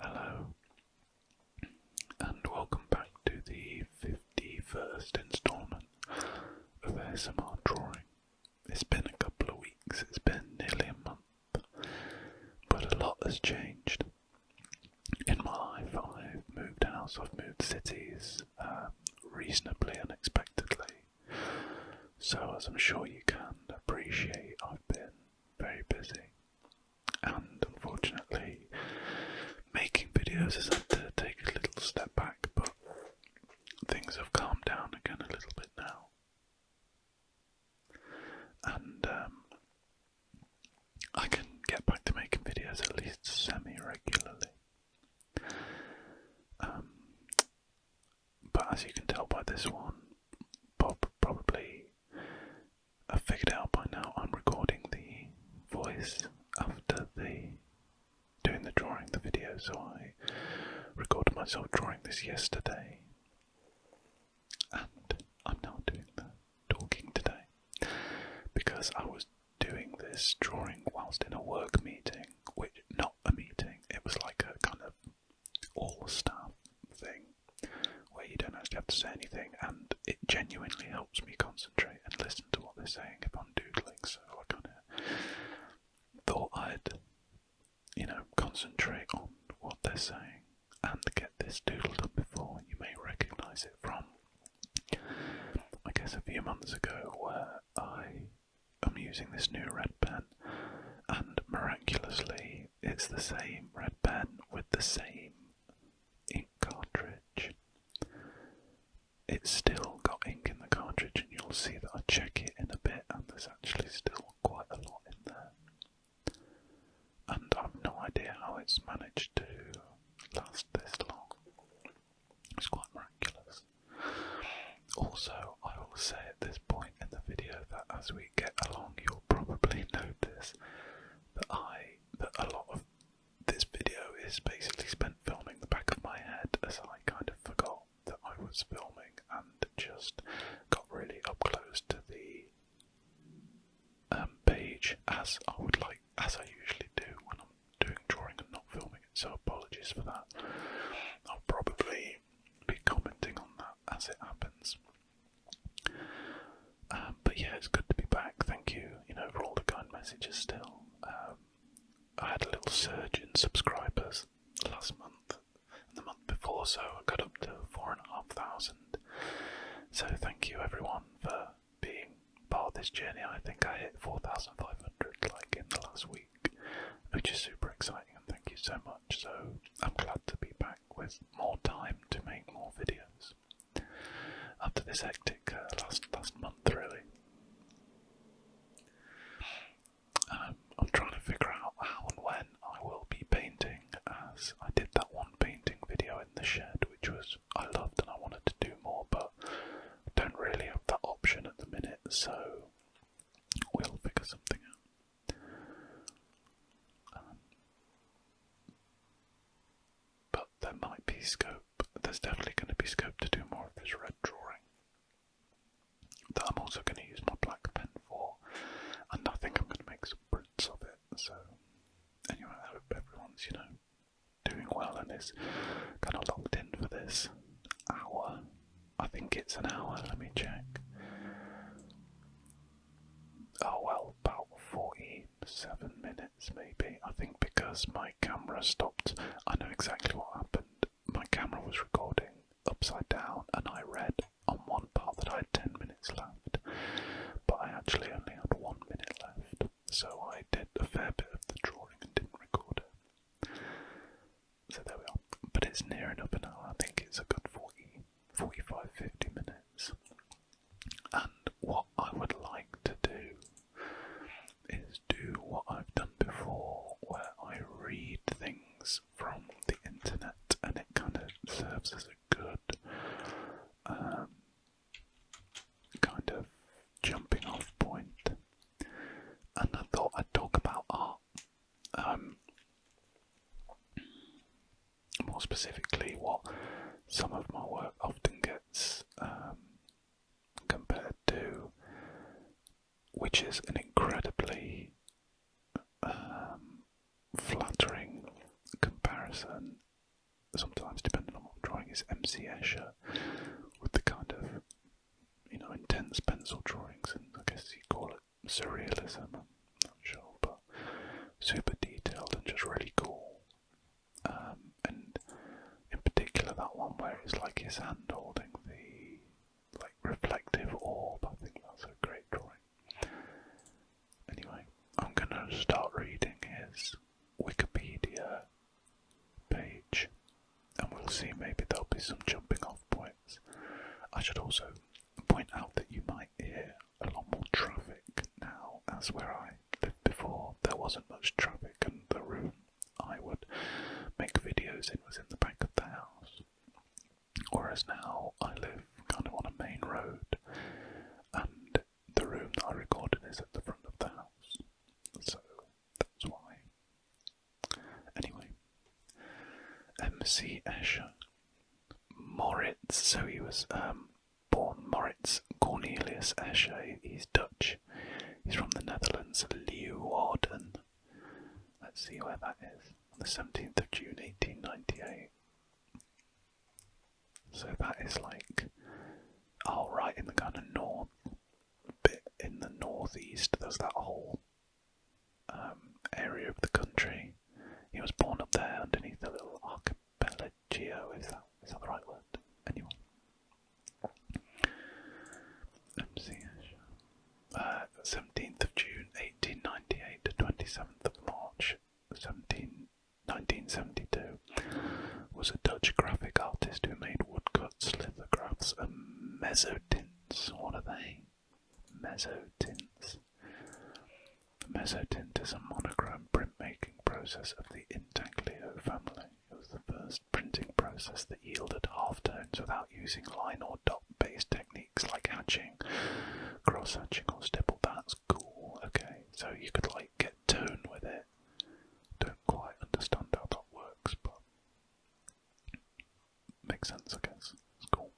Hello, and welcome back to the 51st instalment of ASMR Drawing. It's been a couple of weeks, it's been nearly a month, but a lot has changed. In my life, I've moved house, I've moved cities, uh, reasonably unexpectedly. So, as I'm sure you can appreciate, I've been very busy, and unfortunately, making videos has had to take a little step back, but things have calmed down again a little bit now. And um, I can get back to making videos at least semi regularly. Um, but as you can tell by this one, Bob probably I figured out by now I'm recording the voice after the doing the drawing the video, so I recorded myself drawing this yesterday. And I'm now doing the talking today. Because I was doing this drawing whilst in a work meeting, which not a meeting. It was like a kind of all-star thing where you don't actually have to say anything and it genuinely helps me concentrate and listen to what they're saying if I'm doodling, so I kind of thought I'd, you know, concentrate on what they're saying and get this doodled up before. You may recognise it from, I guess, a few months ago where I I'm using this new red pen, and miraculously, it's the same red pen with the same ink cartridge. It's still got ink in the cartridge, and you'll see that I check it in a bit, and there's actually still quite a lot in there. And I've no idea how it's managed to last this long. It's quite miraculous. Also, I will say at this point in the video that as we get along, you'll probably notice that I that a lot of this video is basically spent filming the back of my head, as I kind of forgot that I was filming and just got really up close to the um, page as I would like, as I usually do when I'm doing drawing and not filming So apologies for that. I'll probably be commenting on that as it happens. Um, but yeah, it's good to be back. Thank you, you know, for all the kind messages. Still, um, I had a little surge in subscribers last month and the month before, so I got up to four and a half thousand. So thank you, everyone, for being part of this journey. I think I hit four thousand five hundred like in the last week which is super exciting. And thank you so much. So I'm glad to be back with more time to make more videos after this hectic uh, last last month, really. Um, I'm trying to figure out how and when I will be painting, as I did that one painting video in the shed, which was I loved and I wanted to do more, but I don't really have that option at the minute. So We'll figure something out. Um, but there might be scope, there's definitely going to be scope to do more of this red drawing that I'm also going to use my black pen for, and I think I'm going to make some prints of it. So, anyway, I hope everyone's, you know, doing well and is kind of locked in for this hour I think it's an hour, let me check. Oh well, about 47 minutes maybe. I think because my camera stopped, I know exactly what happened. My camera was recording upside down and I read on one part that I had 10 minutes left, but I actually only had one minute left, so I did a fair bit of the drawing and didn't record it. So there we are. But it's near enough an hour, I think it's a good 40, 45, 50 minutes. And what I would like to do is do what I've done before, where I read things from the internet and it kind of serves as a good um, kind of jumping off point. And I thought I'd talk about art um, more specifically, what some of my work often gets um, compared to, which is an incredibly um, flattering comparison, sometimes depending on what drawing is, M. C. Escher, with the kind of you know, intense pencil drawings, and I guess you call it surrealism. I'm not sure, but super detailed and just really cool. Um, and in particular, that one where it's like his hand holding the like reflective orb. I think that's a great drawing. Anyway, I'm gonna start reading his Wikipedia page and we'll see maybe there'll be some jumping off points. I should also point out that you might hear a lot more traffic now, as where I lived before there wasn't much traffic, and the room I would make videos in was in the back of the house. Whereas now I live kind of on a main road, and the room that I recorded is at the front of the house, so that's why Anyway, M.C. Escher, Moritz. So he was um, born Moritz Cornelius Escher. He's Dutch. He's from the Netherlands, Leeuwarden. Let's see where that is. the 17th of June, 1898. So that is like, all oh, right in the kind of north bit in the northeast. There's that hole. Um, area of the country. He was born up there underneath a little archipelago, is that, is that the right word? Anyway. MCH. Uh, 17th of June 1898 to 27th of March 17, 1972 was a Dutch graphic artist who made woodcuts, lithographs and mezzotints. What are they? mesotints. Mesotint is a monogram printmaking process of the intaglio family. It was the first printing process that yielded halftones without using line or dot-based techniques like hatching, cross-hatching or stipple. That's cool, okay. So you could like get tone with it. Don't quite understand how that works, but makes sense, I guess. It's cool.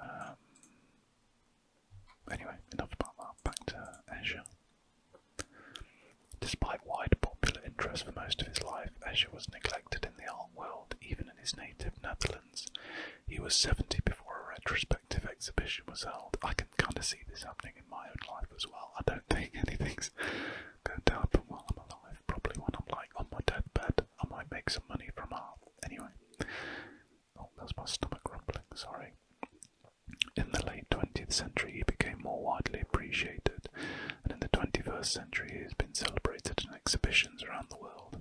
Um, anyway, enough about that. Back to Escher. Despite wide popular interest for most of his life, Escher was neglected in the art world, even in his native Netherlands. He was 70 before a retrospective exhibition was held. I can kind of see this happening in my own life as well. I don't think anything's go to happen while I'm alive. Probably when I'm like on my deathbed, I might make some money from art. Anyway, oh, that's my stomach rumbling. Sorry. In the late 20th century, he became more widely appreciated, and in the 21st century, he has been celebrated in exhibitions around the world.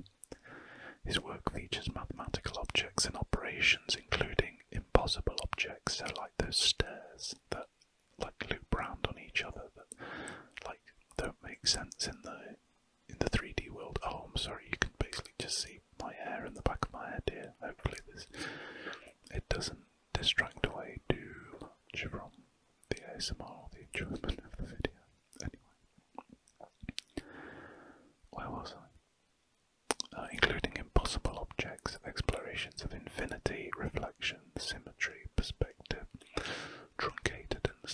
His work features mathematical objects and operations, including impossible objects, like those stairs, like loop round on each other that like don't make sense in the in the 3D world. Oh, I'm sorry, you can basically just see my hair in the back of my head here. Hopefully this it doesn't distract away too much from the ASMR, or the enjoyment of the video. Anyway, where was I? Uh, including impossible objects, explorations of infinity, reflection, symmetry, perspective, truncated and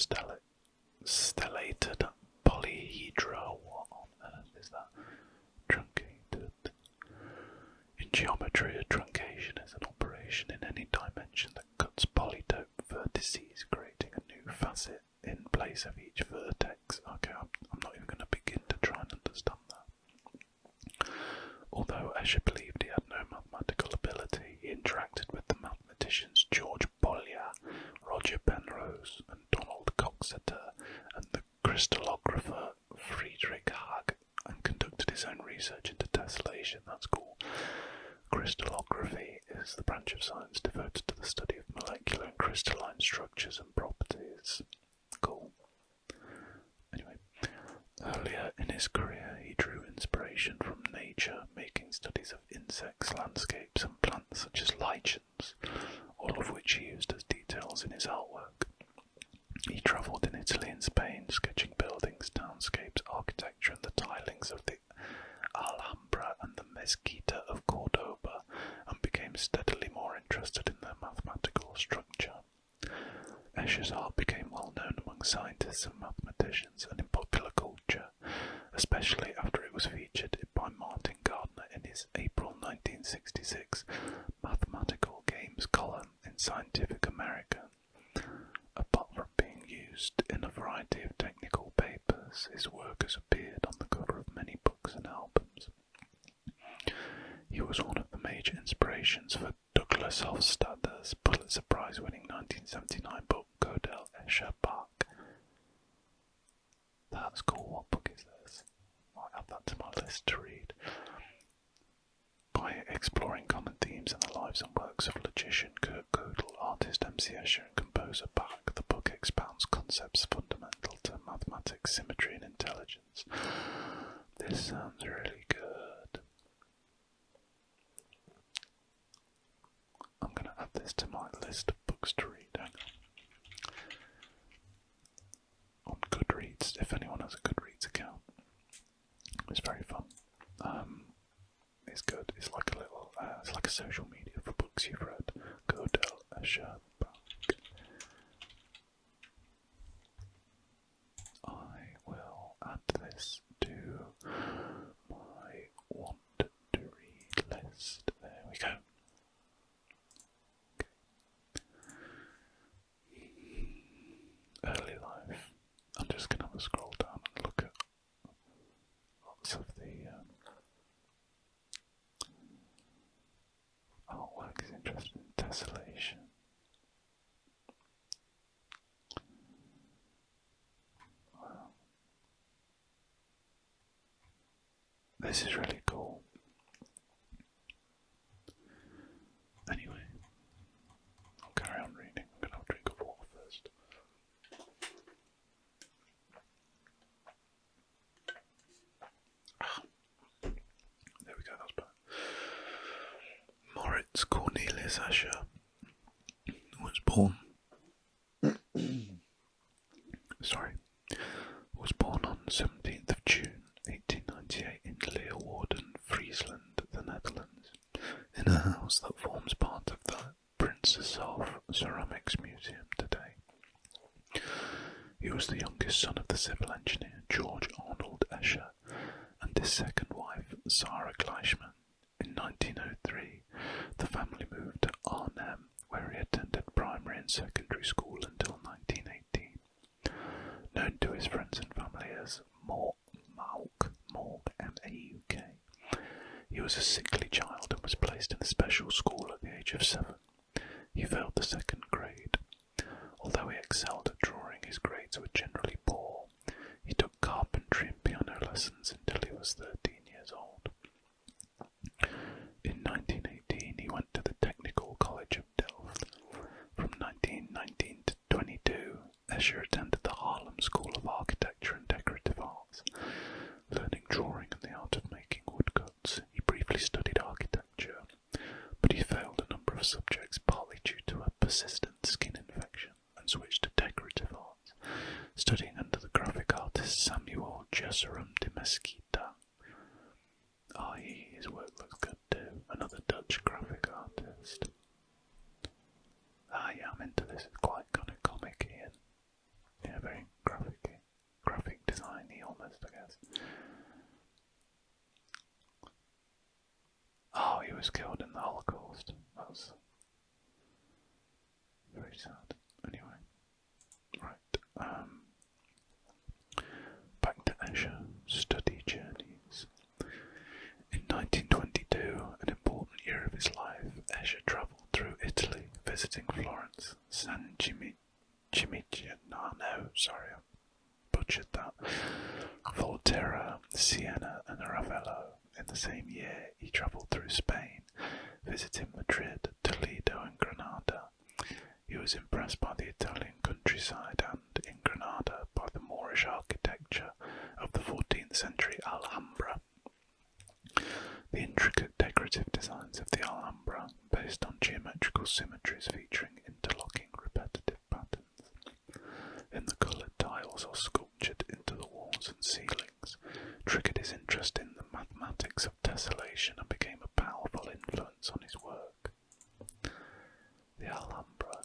stellated polyhedra. What on earth is that? Truncated. In geometry, a truncation is an operation in any dimension that cuts polytope vertices, creating a new facet in place of each vertex. Okay, I'm not even going to begin to try and understand that. Although Asher believed he had no mathematical ability, he interacted with the mathematicians George Bollier, Roger Penrose, and Donald Coxeter, and the crystallographer Friedrich Hag, and conducted his own research into tessellation. That's cool. Crystallography is the branch of science devoted to the study of molecular and crystalline structures and properties. Cool. Anyway, Earlier in his career, he drew inspiration from nature, making studies of insects, landscapes, and plants such as lichens, all of which he used as details in his artwork. He travelled in Italy and Spain, sketching buildings, townscapes, architecture, and the tilings of the Alhambra and the Mezquita of Cordoba, and became steadily more interested in their mathematical structure. Escher's art became well known among scientists and mathematicians and in popular culture, especially after it was featured by Martin Gardner in his April 1966 Mathematical Games column in Scientific American. Apart from being used in a variety of technical papers, his work has appeared on the cover of many books and albums. He was one of the major inspirations for Douglas Hofstadter's Pulitzer Prize winning 1979 book, Godel Escher Bach. That's cool. What book is this? I'll add that to my list to read. By exploring common themes in the lives and works of logician Kurt Gödel, artist M.C. Escher, and composer Bach, the book expounds concepts fundamental to mathematics, symmetry, and intelligence. This sounds really good. I'm going to add this to my list of books to read. on. Goodreads, if anyone has a Goodreads account, it's very fun. Um, it's good. It's like a little, uh, it's like a social media for books you've read. Go Del I will add this to my want to read list. There we go. Early life. I'm just going to have a scroll down and look at lots of the um, artwork. Is interesting. Tessellation. This is really cool. Anyway, I'll carry on reading. I'm going to have a water first. Ah. There we go, that's better. Moritz Cornelius Asher was born. Sorry, was born on 17th of June 1898 in Leeuwarden, Friesland, the Netherlands, in a house that forms part of the Princess of Ceramics Museum today. He was the youngest son of the civil engineer George Arnold Escher and his second wife, Sarah Gleichman, in 1903, the family moved to Arnhem, where he attended primary and secondary school until 1918. Known to his friends and family as Mork, Malk, Mork, M-A-U-K, he was a sickly child and was placed in a special school at the age of seven. He failed the second grade. Although he excelled at drawing, his grades were generally poor. He took carpentry and piano lessons until he was 13 years old. In 1918, he went to the Technical College of Delft. From 1919 to 22, Escher attended the Harlem School of Architecture and Decorative Arts. Learning drawing and the art of making woodcuts, he briefly studied architecture, but he failed a number of subjects partly due to a persistent skin infection and switched to decorative arts, studying under the graphic artist Samuel Jesurum de Mesquita. I.e., ah, his work looks good too, another Dutch graphic artist. Ah, I'm into this, quite kind of comic and very graphic, graphic designy almost, I guess. Oh, he was killed in the Holocaust. That's very sad. Anyway, right. Um, back to Esher. Study journeys. In 1922, an important year of his life, Escher travelled through Italy, visiting Florence, San Gimignano, no, sorry, butchered that, Volterra, Siena, and Ravello. In the same year, he travelled through Spain, visiting Madrid, Toledo, and Granada. He was impressed by the Italian countryside and, in Granada, by the Moorish architecture of the 14th century Alhambra. The intricate decorative designs of the Alhambra, based on geometrical symmetries featuring interlocking repetitive patterns, in the coloured tiles or sculptured into the walls and ceilings, triggered his interest in the mathematics of tessellation and became a powerful influence on his work. The Alhambra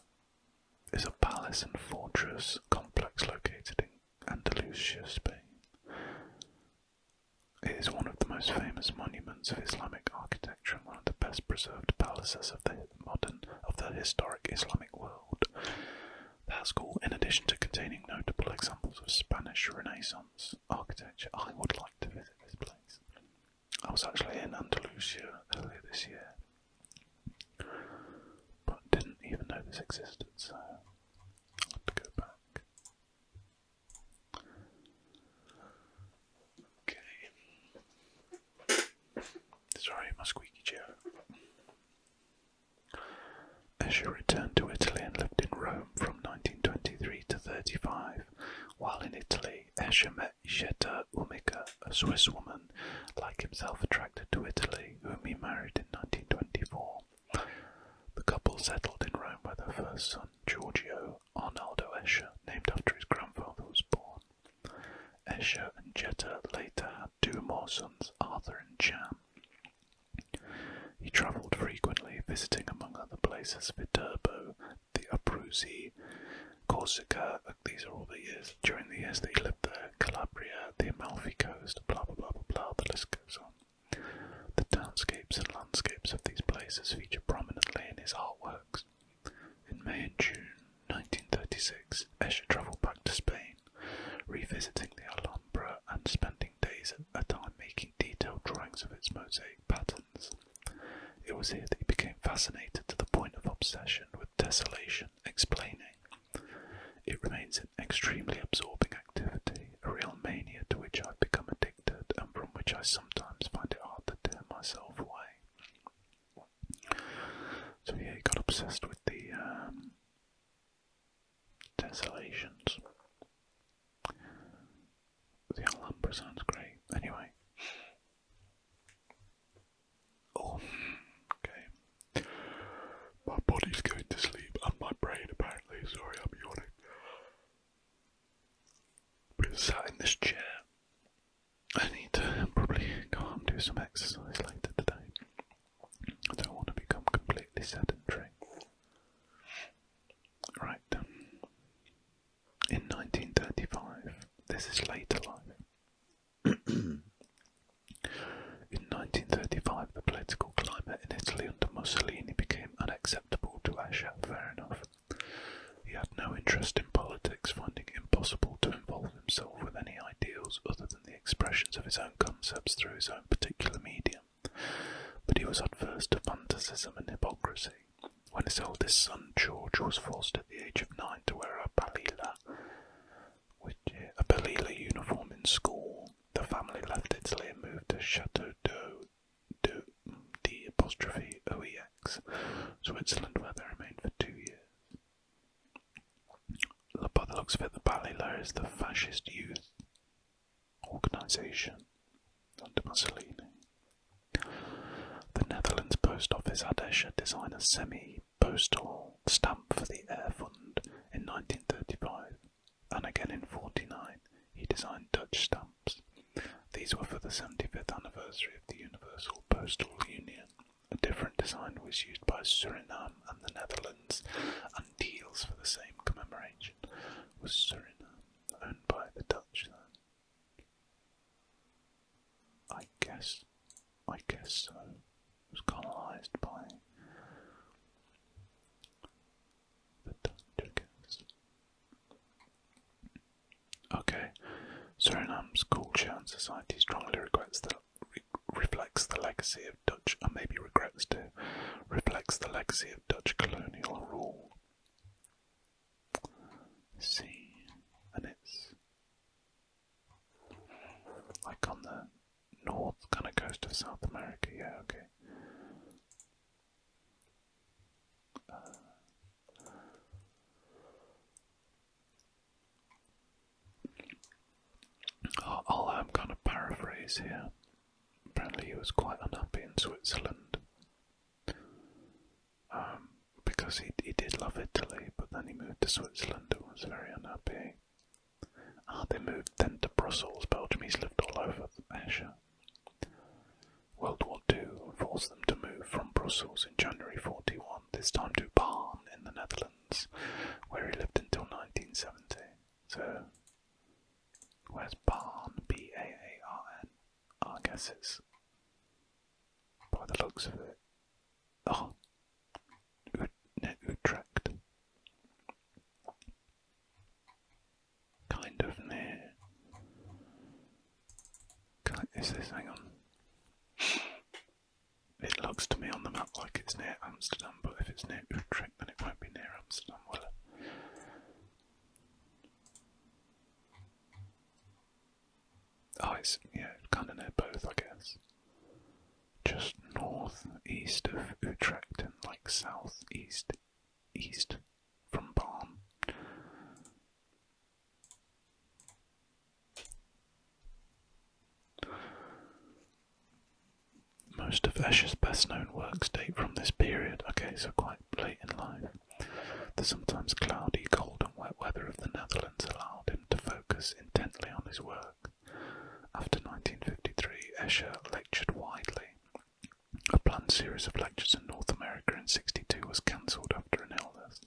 is a palace and fortress complex located in Andalusia, Spain. It is one of the most famous monuments of Islamic architecture and one of the best preserved palaces of the modern of the historic Islamic Islamic world. in addition to containing notable examples of Spanish Renaissance architecture, I would like to visit this place. I was actually in Andalusia earlier this year, but didn't even know this existed, so I'll go back. Okay. Sorry, my squeaky chair. Escher returned to Italy and lived in Rome from 1923 to 35. While in Italy, Escher met Jetta Umica, a Swiss woman, like himself attracted to Italy, whom he married in 1924. The couple settled in Rome where their first son, Giorgio Arnaldo Escher, named after his grandfather, was born. Esher and Jetta later had two more sons, Arthur and Cham. He travelled frequently, visiting among other places Viterbo, the Abruzzi, Corsica, these are all the years, during the years that he lived there, Calabria, the Amalfi Coast, blah blah blah blah blah, the list goes on. The townscapes and landscapes of these places feature prominently in his artworks. In May and June, 1936, Escher travelled back to Spain, revisiting the Alhambra and spending days at a time making detailed drawings of its mosaic patterns. It was here that he became fascinated to the point of obsession with desolation explaining. It remains an extremely absorbing activity, a real mania to which I've become addicted and from which I sometimes find it hard to turn myself away. So yeah, he got obsessed with the um, tessellations. The Alhambra sounds great. Anyway. Oh, okay. My body's going to sleep and my brain apparently. Sorry, I'm yawning. But sat in this chair I need to probably go out and do some exercise later today. I don't want to become completely sedentary. Right. In 1935, this is later life. in 1935, the political climate in Italy under Mussolini became unacceptable to Asher, fair enough. He had no interest in politics, finding it impossible to involve himself with any ideals other the expressions of his own concepts through his own particular medium, but he was adverse to fanaticism and hypocrisy. When his oldest son George was forced at the age of nine to wear a balila, which a balila uniform in school, the family left Italy and moved to Chateau d'Eau, Switzerland, where they remained for two years by the looks of it, the Balila is the fascist youth organisation under The Netherlands Post Office had Escher design a semi-postal stamp for the Air Fund in 1935, and again in 49 he designed Dutch stamps. These were for the 75th anniversary of the Universal Postal Union. A different design was used by Suriname and the Netherlands, and Deals for the same commemoration was Suriname, owned by the Dutch then. I guess, I guess so. It was colonised by the Dutch, I guess. Okay, Suriname's culture and society strongly regrets that reflects the legacy of Dutch, and maybe regrets to, reflects the legacy of Dutch colonial rule. See, and it's like on the north kind of coast of South America, yeah, okay. Uh, i am um, kind of paraphrase here. Apparently, he was quite unhappy in Switzerland um, because he, he did love Italy, but then he moved to Switzerland and was very unhappy. Ah, they moved then to Brussels, Belgium. He's lived all over Asia. World War II forced them to move from Brussels in January 41, this time to Barn in the Netherlands where he lived until 1970. So, where's Barn? B A A R N. Oh, I guess it's by the looks of it. Oh, Utrecht. Kind of near. Is this? Hang on. It looks to me on the map like it's near Amsterdam, but if it's near Utrecht, then it won't be near Amsterdam, will Oh, it's, yeah, kind of near both, I guess. Just north east of Utrecht and like south east east from Barn. Most of Escher's best known works date from this period, okay, so quite late in life. The sometimes cloudy, cold, and wet weather of the Netherlands allowed him to focus intently on his work. After 1953, Escher lectured widely. A planned series of lectures in North America in 62 was cancelled after an illness,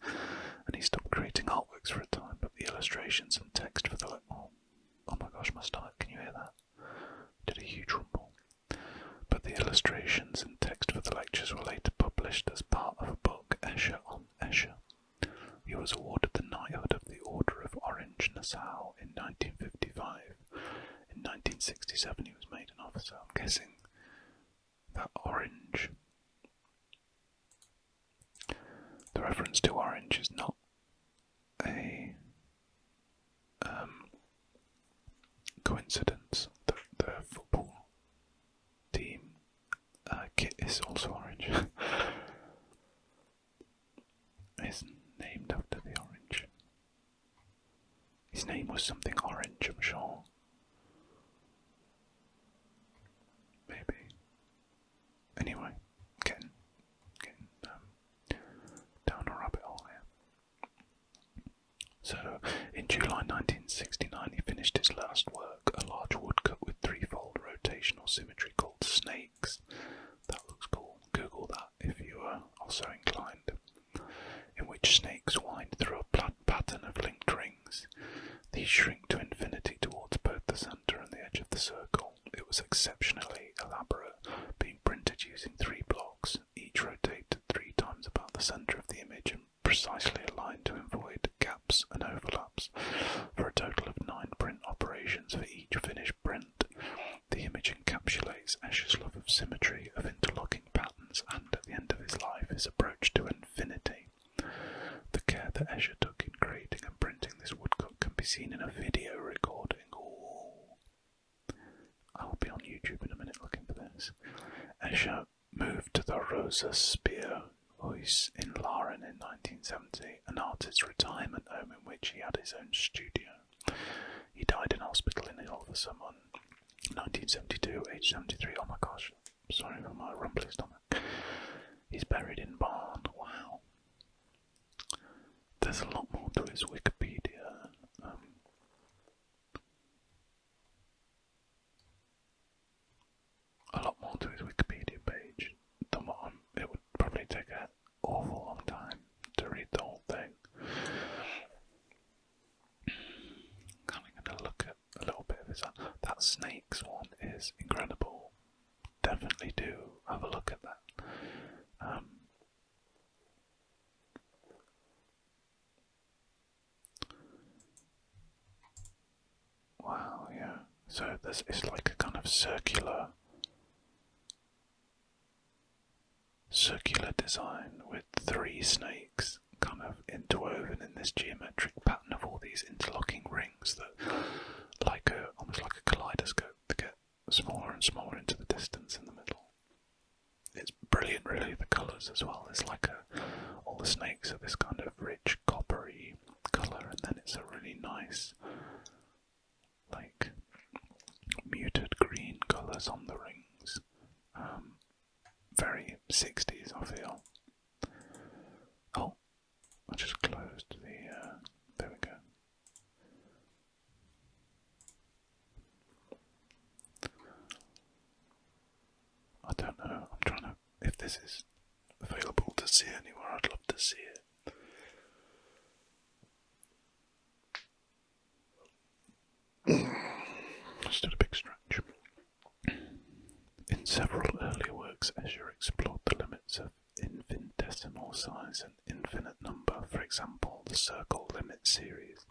and he stopped creating artworks for a time the illustrations and text for the oh, oh my gosh, my stomach, can you hear that? Did a huge rumble. But the illustrations and text for the lectures were later published as part of a book, Escher on Escher. He was awarded the Knighthood of the Order of Orange Nassau in 1955. In 1967, he was made an officer. I'm guessing that orange the reference to orange is not a um, coincidence. The, the football team uh, kit is also orange. it's named after the orange. His name was something orange, I'm sure. Maybe anyway, getting getting um, down a rabbit hole here. So, in July 1969, he finished his last work, a large woodcut with three-fold rotational symmetry called Snakes. That looks cool. Google that if you are also inclined. In which snakes wind through a pattern of linked rings. These shrink to infinity towards both the sun planter the edge of the circle. It was exceptionally elaborate, being printed using three blocks, each rotated three times about the centre of the image and precisely aligned to avoid gaps and overlaps, for a total of nine print operations for each finished print. The image encapsulates Escher's love of symmetry, of interlocking patterns, and at the end of his life, his approach to infinity. The care that Escher took in creating and printing this woodcut can be seen in a video recording. Ooh. I'll be on YouTube in a minute looking for this. Escher moved to the Rosa House in Laren in 1970, an artist's retirement home in which he had his own studio. He died in hospital in Hilversum on 1972, aged 73. Oh my gosh, sorry for my rumbly stomach. He's buried in Barn. Wow. There's a lot more to his Wikipedia. Um, a lot more to his Wikipedia page than what it would probably take an awful long time to read the whole thing. I'm going to look at a little bit of his. That snakes one is incredible definitely do have a look at that. Um, wow, yeah. So this is like a kind of circular, circular design with three snakes kind of interwoven in this geometric pattern of all these interlocking rings that like a almost like a kaleidoscope to get smaller and smaller into the distance in the middle. It's brilliant, really, the colours as well. It's like a, all the snakes are this kind of rich coppery colour, and then it's a really nice, like, muted green colours on the rings. Um, very 60s, I feel. Oh, I just closed the. Uh, there we go. I don't know. I'm trying to. If this is available to see anywhere, I'd love to see it. Stood a big stretch. In several early works, Escher explored the limits of infinitesimal size and infinite number, for example, the circle limit series,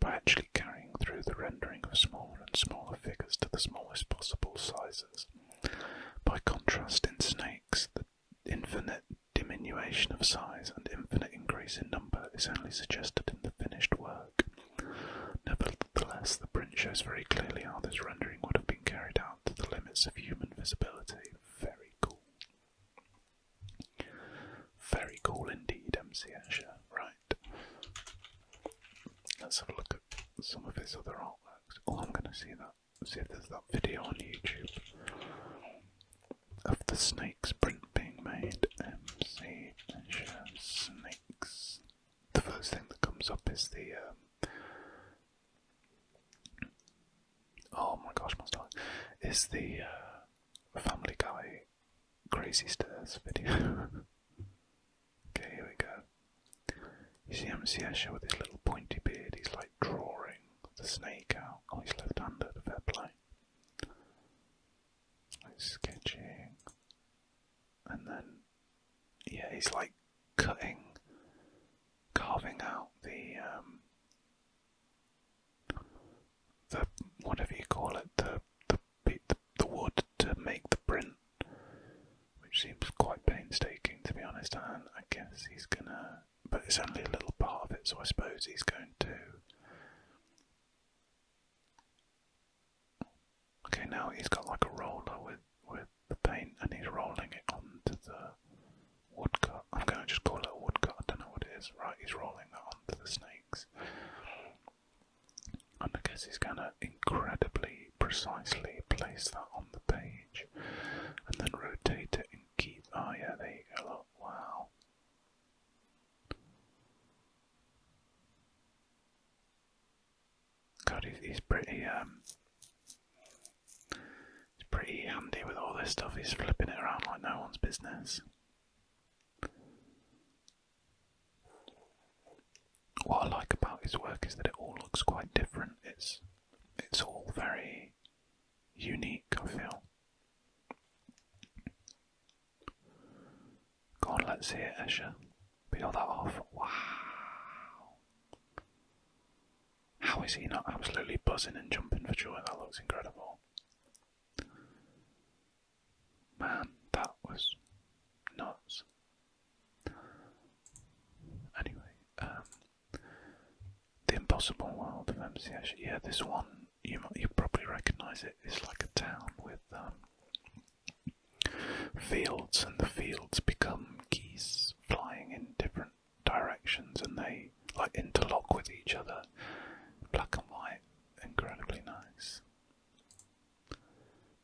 by actually carrying through the rendering of smaller and smaller figures to the smallest possible sizes. By contrast, in snakes, the infinite diminution of size and infinite increase in number is only suggested in the finished work. Nevertheless, the print shows very clearly how this rendering would have been carried out to the limits of human visibility. Very cool. Very cool indeed, MC Escher. Right. Let's have a look at some of his other artworks. Oh, I'm going to see that. See if there's that video on YouTube of the snake's print being made. MC Escher snakes. The first thing that comes up is the um, Oh my gosh, my stomach. Is the uh, Family Guy Crazy Stairs video. okay, here we go. You see MCS with his little pointy beard, he's like drawing the snake out. Oh, he's left handed, fair play. Like sketching. And then yeah, he's like cutting, carving out the um, the whatever you call it, the the the, the wood to make the print, which seems quite painstaking to be honest. And I guess he's gonna, but it's only a little part of it, so I suppose he's going to. Okay, now he's got like a roller with with the paint and he's rolling it onto the woodcut. I'm going to just call it a woodcut, I don't know what it is. Right, he's rolling that onto the snakes. And I guess he's going to incredibly precisely place that on the page and then rotate it and keep. Oh, yeah, there you go. Look, wow. God, he's, pretty. Um, he's pretty handy with all this stuff. He's flipping it around like no one's business. What I like about his work is that it all looks quite different. It's it's all very unique. I feel. Go let's see it, Escher. Peel that off. Wow. How is he not absolutely buzzing and jumping for joy? That looks incredible. Man, that was nuts. Anyway, um, the impossible world of MCS. Yeah, this one you you probably recognise it. It's like a town with um, fields, and the fields become geese flying in different directions and they like interlock with each other. Black and white, incredibly nice.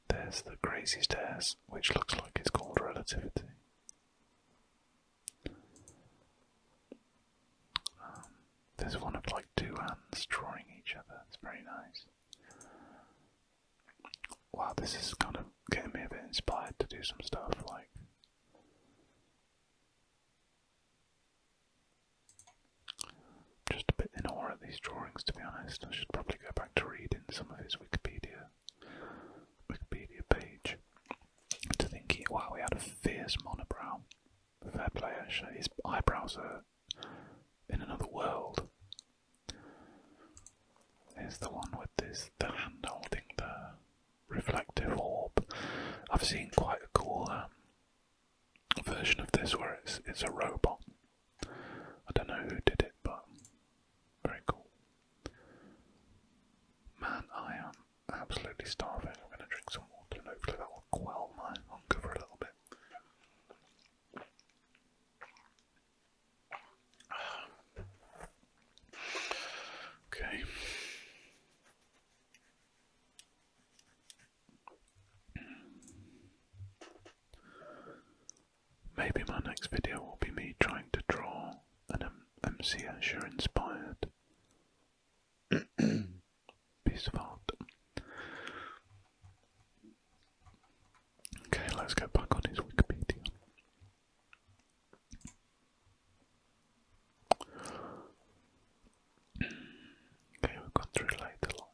There's the crazy stairs, which looks like it's called relativity. Um, there's one of like two hands drawing each other. It's very nice wow, this is kind of getting me a bit inspired to do some stuff like. Just a bit in awe of these drawings, to be honest. I should probably go back to reading some of his Wikipedia Wikipedia page to think. wow, he had a fierce monobrow. Fair play, His eyebrows are in another world. Here's the one with this the hand holding the reflective orb. I've seen quite a cool um, version of this where it's it's a robot. I don't know who did it, but very cool. Man, I am absolutely starving. I'm going to drink some water hopefully that will quell my hunger for a little bit. Okay. Maybe my next video will be me trying to draw an M Escher inspired piece of art. Okay, let's go back on his Wikipedia. Okay, we've got through later along.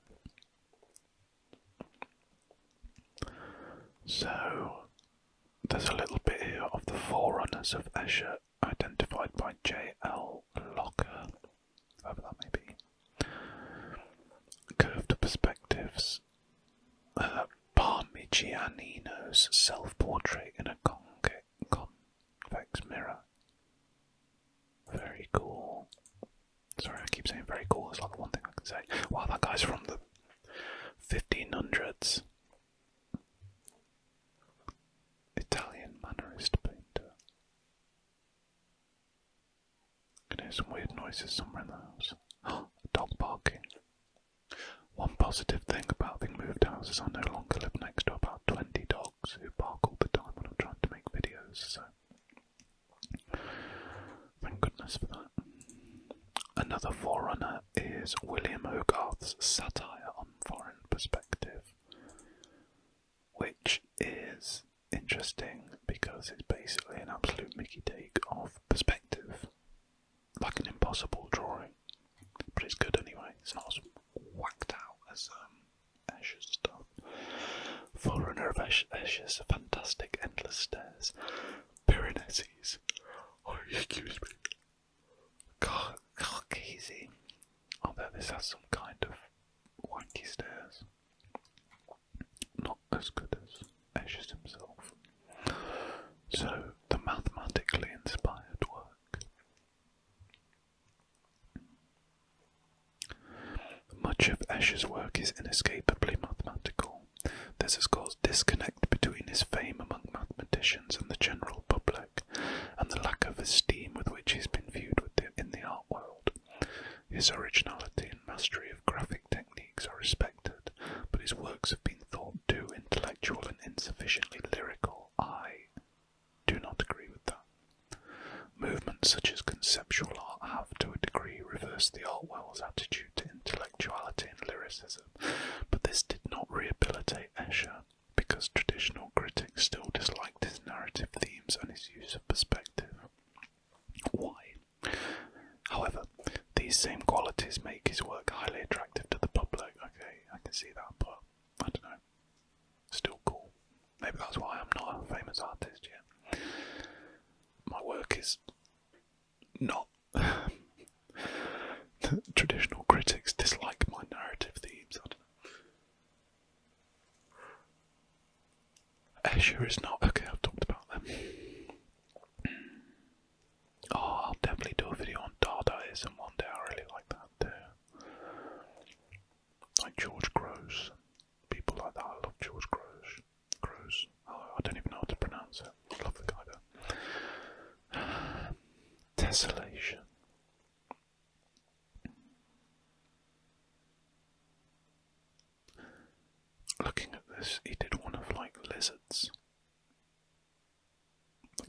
So, there's a little bit here of the forerunners of Escher identified by J.L. Locker, however that may be. Curved perspectives uh, Parmigianino's self-portrait in a convex mirror. Very cool. Sorry, I keep saying very cool. It's like the one thing I can say. Wow, that guy's from the 1500s. Italian Mannerist painter. Can hear some weird noises somewhere in the house. a dog barking. One positive thing about being moved house is I no longer live next to about 20 dogs who bark all the time when I'm trying to make videos, so thank goodness for that. Another forerunner is William Hogarth's satire on foreign perspective, which is interesting because it's basically an absolute Mickey take of perspective like an impossible drawing, but it's good anyway. It's not as whacked out as um, Escher's stuff. Forerunner of Ashes, Fantastic Endless Stairs, Pyrenees, oh, excuse me, Car Carcasey. Although this has some kind of wanky stairs. Not as good as Escher's himself. So, the mathematically inspired work. Much of Escher's work is inescapably mathematical. This has caused disconnect between his fame among mathematicians and the general public, and the lack of esteem with which he's been viewed in the art world. His originality and mastery of graphic techniques are respected but his works have been thought too intellectual and insufficiently lyrical. I do not agree with that. Movements such as conceptual art have, to a degree, reversed the art world's attitude to intellectuality and lyricism, but this did not rehabilitate Escher because traditional critics still disliked his narrative themes and his use of perspective. Why However, these same qualities make his work highly attractive to the public. Okay, I can see that, but I don't know. Still cool. Maybe that's why I'm not a famous artist yet. My work is not. Traditional critics dislike my narrative themes. I don't know. Escher is not. Okay, I've talked about them. Oh, I'll definitely do a video on Dadaism one day. I really like that too. Like George Grosz, people like that. I love George Grosz. Grosz. Oh, I don't even know how to pronounce it. I love the guy There. Tessellation. Looking at this, he did one of like lizards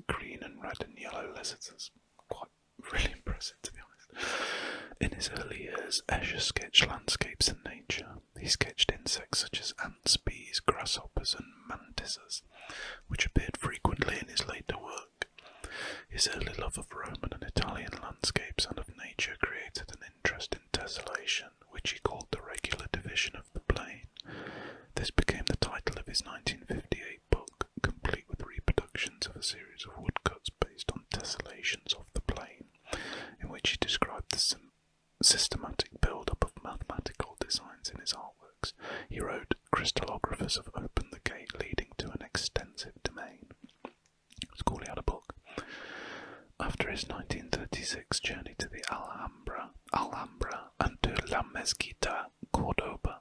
green and red and yellow lizards. quite really impressive to be honest. In his early years, Escher sketched landscapes and nature. He sketched insects such as ants, bees, grasshoppers, and mantises, which appeared frequently in his later work. His early love of Roman and Italian landscapes and of nature created an interest in tessellation, which he called the regular division of the Plain. This became the title of his 1958 book, complete with reproductions of a series of woodcuts based on tessellations of the plane, in which he described the systematic build-up of mathematical designs in his artworks. He wrote, crystallographers have opened the gate leading to an extensive domain. It's cool he a book. After his 1936 journey to the Alhambra, and to La Mezquita, Cordoba,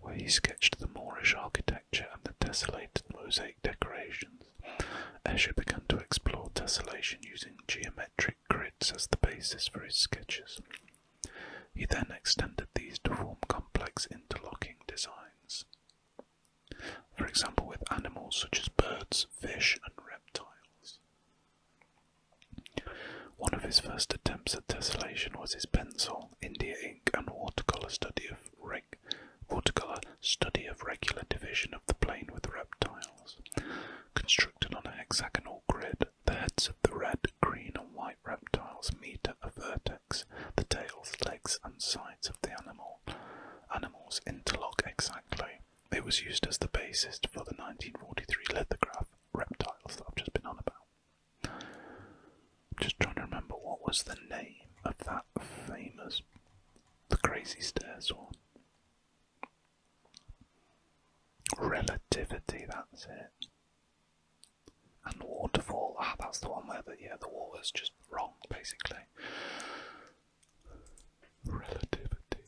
where he sketched the Moorish architecture and the tessellated mosaic decorations, Escher began to explore tessellation using geometric grids as the basis for his sketches. He then extended these to form complex interlocking designs, for example with animals such as birds, fish, and reptiles. One of his first attempts at tessellation was his pencil, India ink, and watercolor study of regular division of the plane with reptiles. Constructed on a hexagonal grid, the heads of the red, green, and white reptiles meet at a vertex. The tails, legs, and sides of the animal animals interlock exactly. It was used as the basis for the 1943 lithograph Reptiles that I've just been on about. I'm just trying to remember what was the name of that famous, the crazy stairs one. Relativity, that's it. And waterfall, ah, that's the one where the yeah the water's just wrong basically relativity.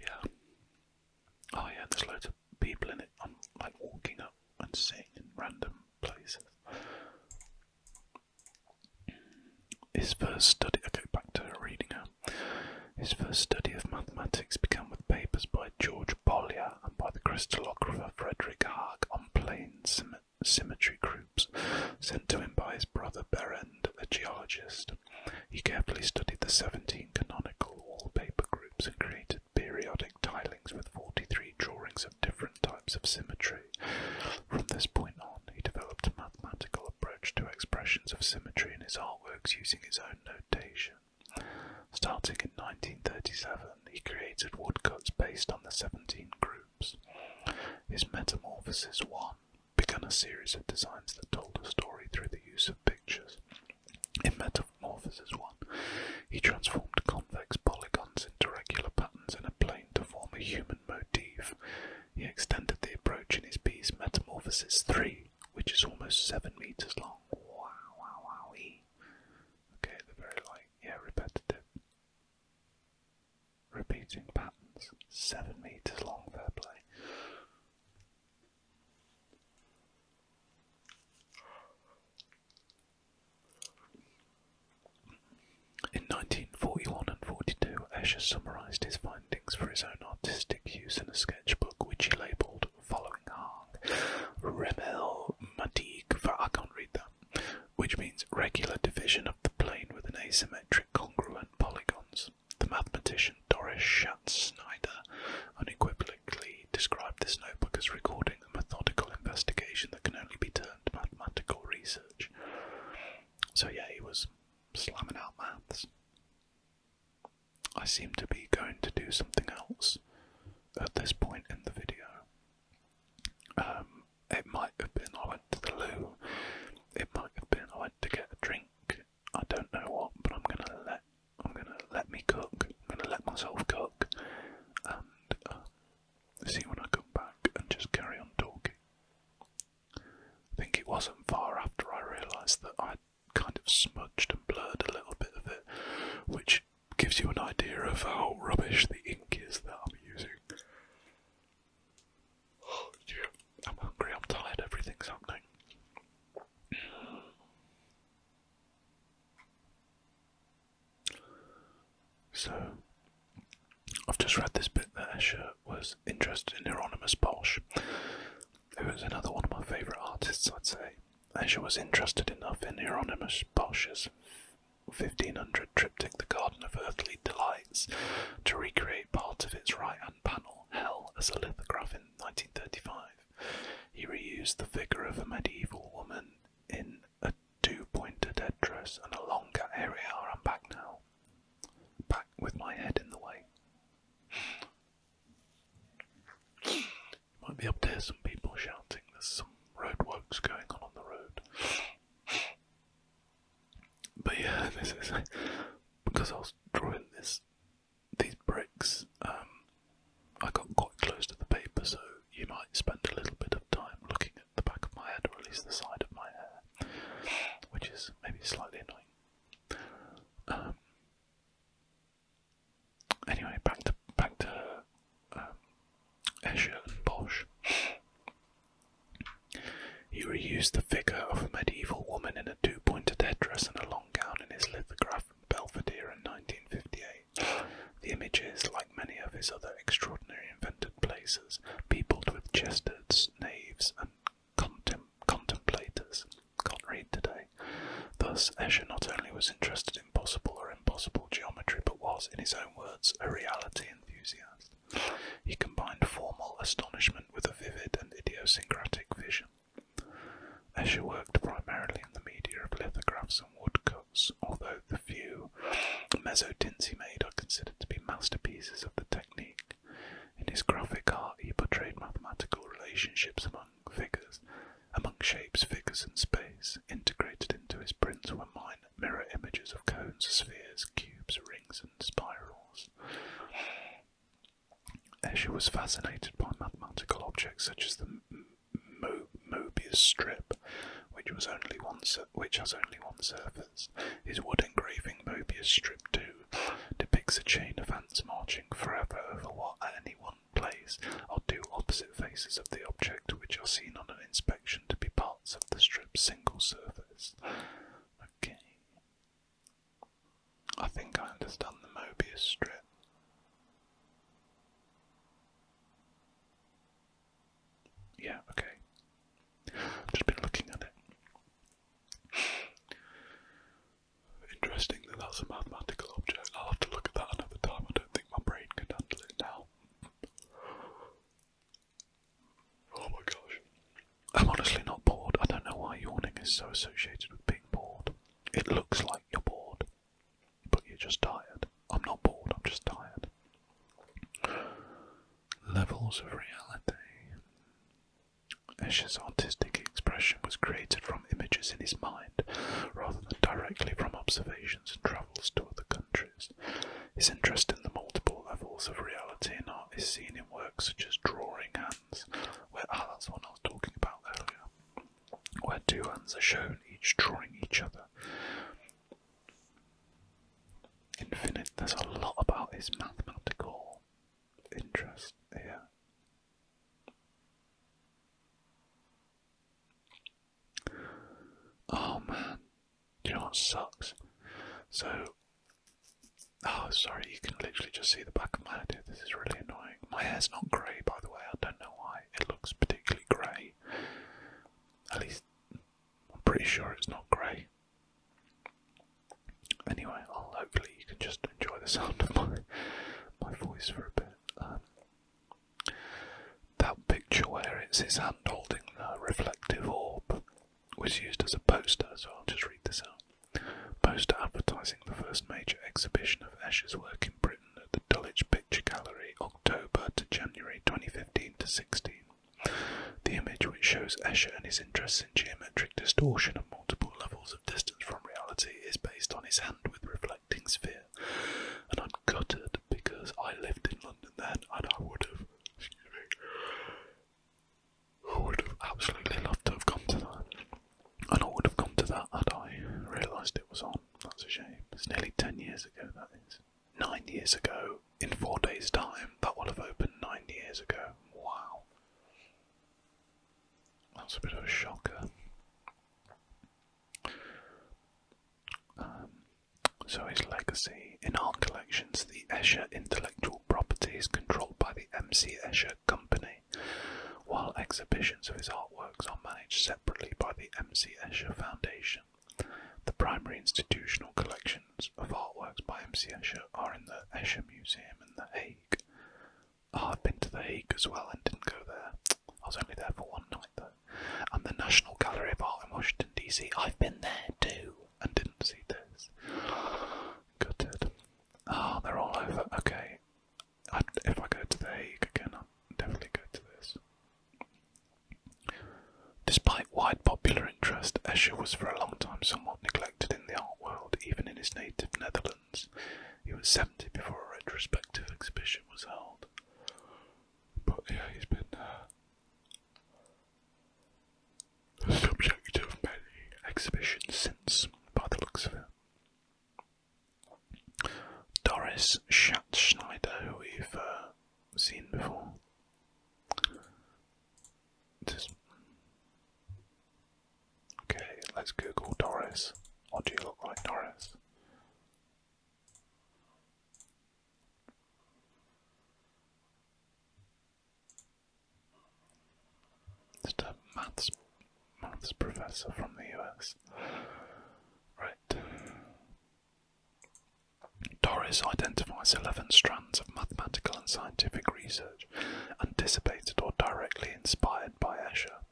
Yeah. Oh yeah, there's loads of people in it. I'm like walking up and sitting in random places. His first study, I go back to reading her. His first study of mathematics began with papers by George Bollier and by the crystallographer Frederick Haag on plane symmetry symmetry groups sent to him by his brother Berend, a geologist. He carefully studied the 17 canonical wallpaper groups and created periodic tilings with 43 drawings of different types of symmetry. From this point on, he developed a mathematical approach to expressions of symmetry in his artworks using his own notation. Starting in 1937, he created woodcuts based on the 17 groups his Metamorphosis 1 began a series of designs that told a story through the use of pictures. In Metamorphosis 1, he transformed convex polygons into regular patterns in a plane to form a human motif. He extended the approach in his piece Metamorphosis 3, which is almost 7 metres long. Wow, wow, wowie. Okay, they very like, yeah, repetitive. Repeating patterns, seven meters long, fair play. In 1941 and 42, Escher summarised his findings for his own artistic use in a sketchbook which he labelled Following Hang, Remel Matig, I can't read that, which means regular division of the plane with an asymmetric congruent polygons. The mathematician Doris Schatz Snyder unequivocally described this notebook as recording a methodical investigation that can only be termed mathematical research. So, yeah, he was slamming out maths. I seem to be going to do something else at this point in the video. Um, it might have been I went to the loo. It might have been I went to get a drink. I don't know what, but I'm gonna let I'm gonna let me cook. I'm gonna let myself cook, and uh, see when I come back and just carry on talking. I think it wasn't far after I realised that I kind of smudged and blurred a little bit of it, which gives you an idea of how rubbish the ink is that I'm using. I'm hungry, I'm tired, everything's happening. So, I've just read this bit that Escher was interested in Hieronymus Bosch, was another one of my favourite artists, I'd say. Escher was interested enough in Hieronymus Bosch's 1500 triptych The Garden of Earthly Delights to recreate part of its right hand panel, Hell, as a lithograph in 1935. He reused the figure of a medieval woman in a two pointed headdress and a longer area around back now. Back with my head in the way. Might be able to some people shouting. There's some roadworks going on on the road. But yeah, this is because I was drawing this these bricks. Um, I got quite close to the paper, so you might spend a little bit of time looking at the back of my head, or at least the side of my hair, which is maybe slightly annoying. Um, anyway, back to back to um, Escher and Bosch. He reused the figure of a medieval woman in a two-pointed headdress and a long gown in his lithograph in Belvedere in 1958. The images, like many of his other extraordinary invented places, peopled with jesters, knaves, and contemplators. Can't read today. Thus, Escher not only was interested in possible or impossible geometry, but was, in his own words, a reality enthusiast. He combined formal astonishment with a vivid and idiosyncratic vision. Escher worked primarily in the media of lithographs and woodcuts, although the few mezzotints he made are considered to be masterpieces of the technique. In his graphic art, he portrayed mathematical relationships among figures, among shapes, figures, and space, integrated into his prints were mine mirror images of cones, spheres, cubes, rings, and spirals. Escher was fascinated by mathematical objects such as the Mobius strip, which was only one which has only one surface. His wood engraving Mobius strip two depicts a chain of ants marching forever over what at any one place are two opposite faces of the object, which are seen on an inspection to be parts of the strip's single surface. Okay. I think I understand the Mobius strip. Yeah, okay. Just been looking at it. Interesting that that's a mathematical object. I'll have to look at that another time. I don't think my brain can handle it now. Oh my gosh. I'm honestly not bored. I don't know why yawning is so associated with being bored. It looks like you're bored, but you're just tired. I'm not bored, I'm just tired. Levels of reality. Escher's artistic expression was created from images in his mind rather than directly from observations and travels to other countries. His interest in the multiple levels of reality in art is seen in works such as Drawing Hands, where ah, was talking about earlier, where two hands are shown, each drawing each other. Infinite. There's a lot about his mathematical interest here. Oh man, do you know what sucks. So, oh, sorry, you can literally just see the back of my head. This is really annoying. My hair's not grey, by the way. I don't know why it looks particularly grey. At least, I'm pretty sure it's not grey. Anyway, I'll, hopefully you can just enjoy the sound of my my voice for a bit. Um, that picture where it's his hand holding the reflective orb was used as a poster, so I'll just read this out. Poster advertising the first major exhibition of Escher's work in Britain at the Dulwich Picture Gallery, October to January 2015 to 16. The image, which shows Escher and his interests in geometric distortion and multiple levels of distance from reality, is based on his hand with reflecting sphere. And I'm gutted because I lived in London then and I would have Excuse me. I would have absolutely loved to have come to that. And I would have come to that had I realised it was on. That's a shame. It's nearly 10 years ago, that is. Nine years ago, in four days' time, that would have opened nine years ago. Wow. That's a bit of a shocker. Um, so his legacy. In art collections, the Escher intellectual property is controlled by the M.C. Escher Company, while exhibitions of his artworks are managed separately by the M.C. Escher Foundation. The primary institutional collections of artworks by M.C. Escher are in the Escher Museum in The Hague. Ah, I've been to The Hague as well and didn't go there. I was only there for one night though. And the National Gallery of Art in Washington, D.C. I've been there too and didn't see this. Gutted. Ah, they're all over. Okay. if I go to The Hague again, I'll definitely go to this. Despite wide popular interest, Escher was for a long time somewhat neglected in the art world, even in his native Netherlands. He was 70 before a retrospective exhibition was held. But yeah, he's been subject of many exhibitions since, by the looks of it. Doris Schatzschneider, who we've uh, seen before. Okay, let's Google Doris. What do you look like, Doris? Just maths, professor from the US. Right. Doris identifies 11 strands of mathematical and scientific research anticipated or directly inspired by Escher.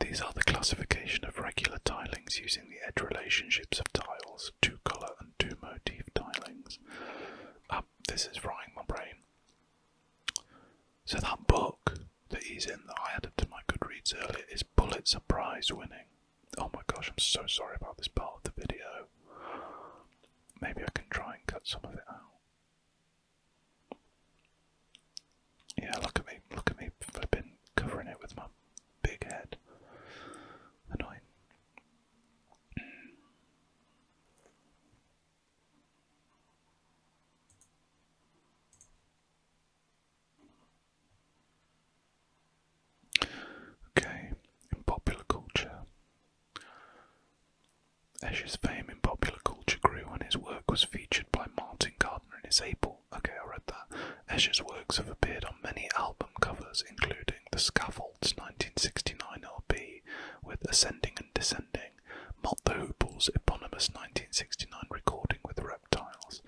These are the classification of regular tilings using the edge relationships of tiles two colour and two motif tilings. Um, this is frying my brain. So that book that he's in that I added to my Goodreads earlier is Pulitzer Prize winning. Oh my gosh, I'm so sorry about this part of the video. Maybe I can try and cut some of it out. Yeah, look at me, look at me I've been covering it with my big head. Annoying. Okay, in popular culture. Escher's fame in popular culture grew and his work was featured by Martin Gardner in his April. Okay, I read Escher's works have appeared on many album covers, including The Scaffold 1969 LP with Ascending and Descending, Malt the Hoople's eponymous 1969 recording with Reptiles,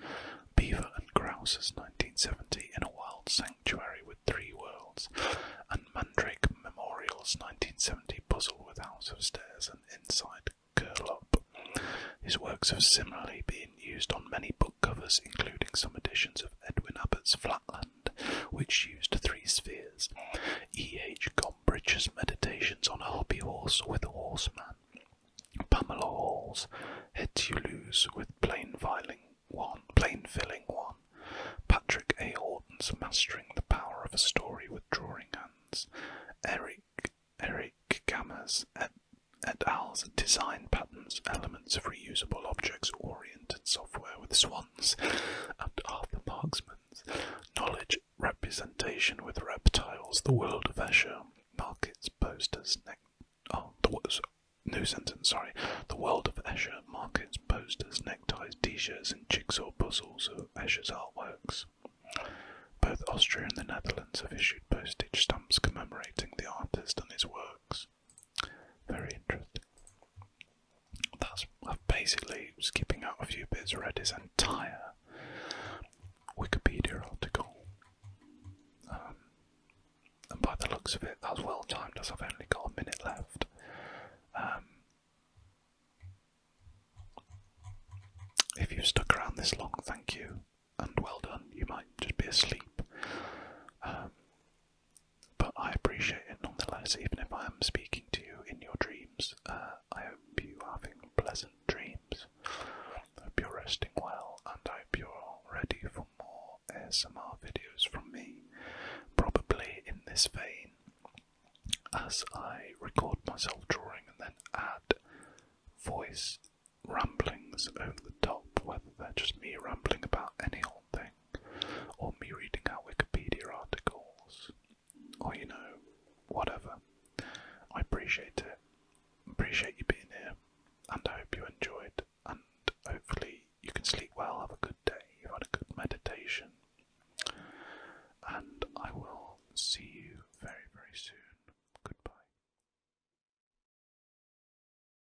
Beaver and Grouse's 1970 In a Wild Sanctuary with Three Worlds, and Mandrake Memorial's 1970 Puzzle with House of Stairs and Inside Curl Up. His works have similarly been used on many book covers, including some editions of Edwin Abbott's Flatland, which used three spheres. E. H. Gombrich's Meditations on a Hobby Horse with a Horseman, Pamela Hall's Hetulus with Plain Filing One, Plain Filling One, Patrick A. Horton's Mastering the Power of a Story with Drawing Hands, Eric Eric Gamma's et, et al's Design Patterns, Elements of Reusable Objects, software with swans and Arthur Marksman's knowledge representation with reptiles, the world of Escher, markets, posters, Oh, new sentence, sorry. The world of Escher, markets, posters, neckties, t shirts, and jigsaw puzzles of Escher's artworks. Both Austria and the Netherlands have issued postage stamps commemorating the artist and his works. Very interesting. That's I've basically skipping out a few bits, read his entire Wikipedia article. Um, and by the looks of it, that's well timed as I've only got a minute left. Um, if you've stuck around this long, thank you and well done. You might just be asleep. Um, but I appreciate it nonetheless, even if I am speaking to you in your dreams. Uh, I hope you are having pleasant dreams. I hope you're resting well, and I hope you're ready for more ASMR videos from me, probably in this vein, as I record myself drawing and then add voice ramblings over the top, whether they're just me rambling about any old thing, or me reading out Wikipedia articles, or you know, whatever. I appreciate it. Appreciate you being here, and I hope you enjoyed. And hopefully, you can sleep well, have a good day, have a good meditation, and I will see you very, very soon. Goodbye.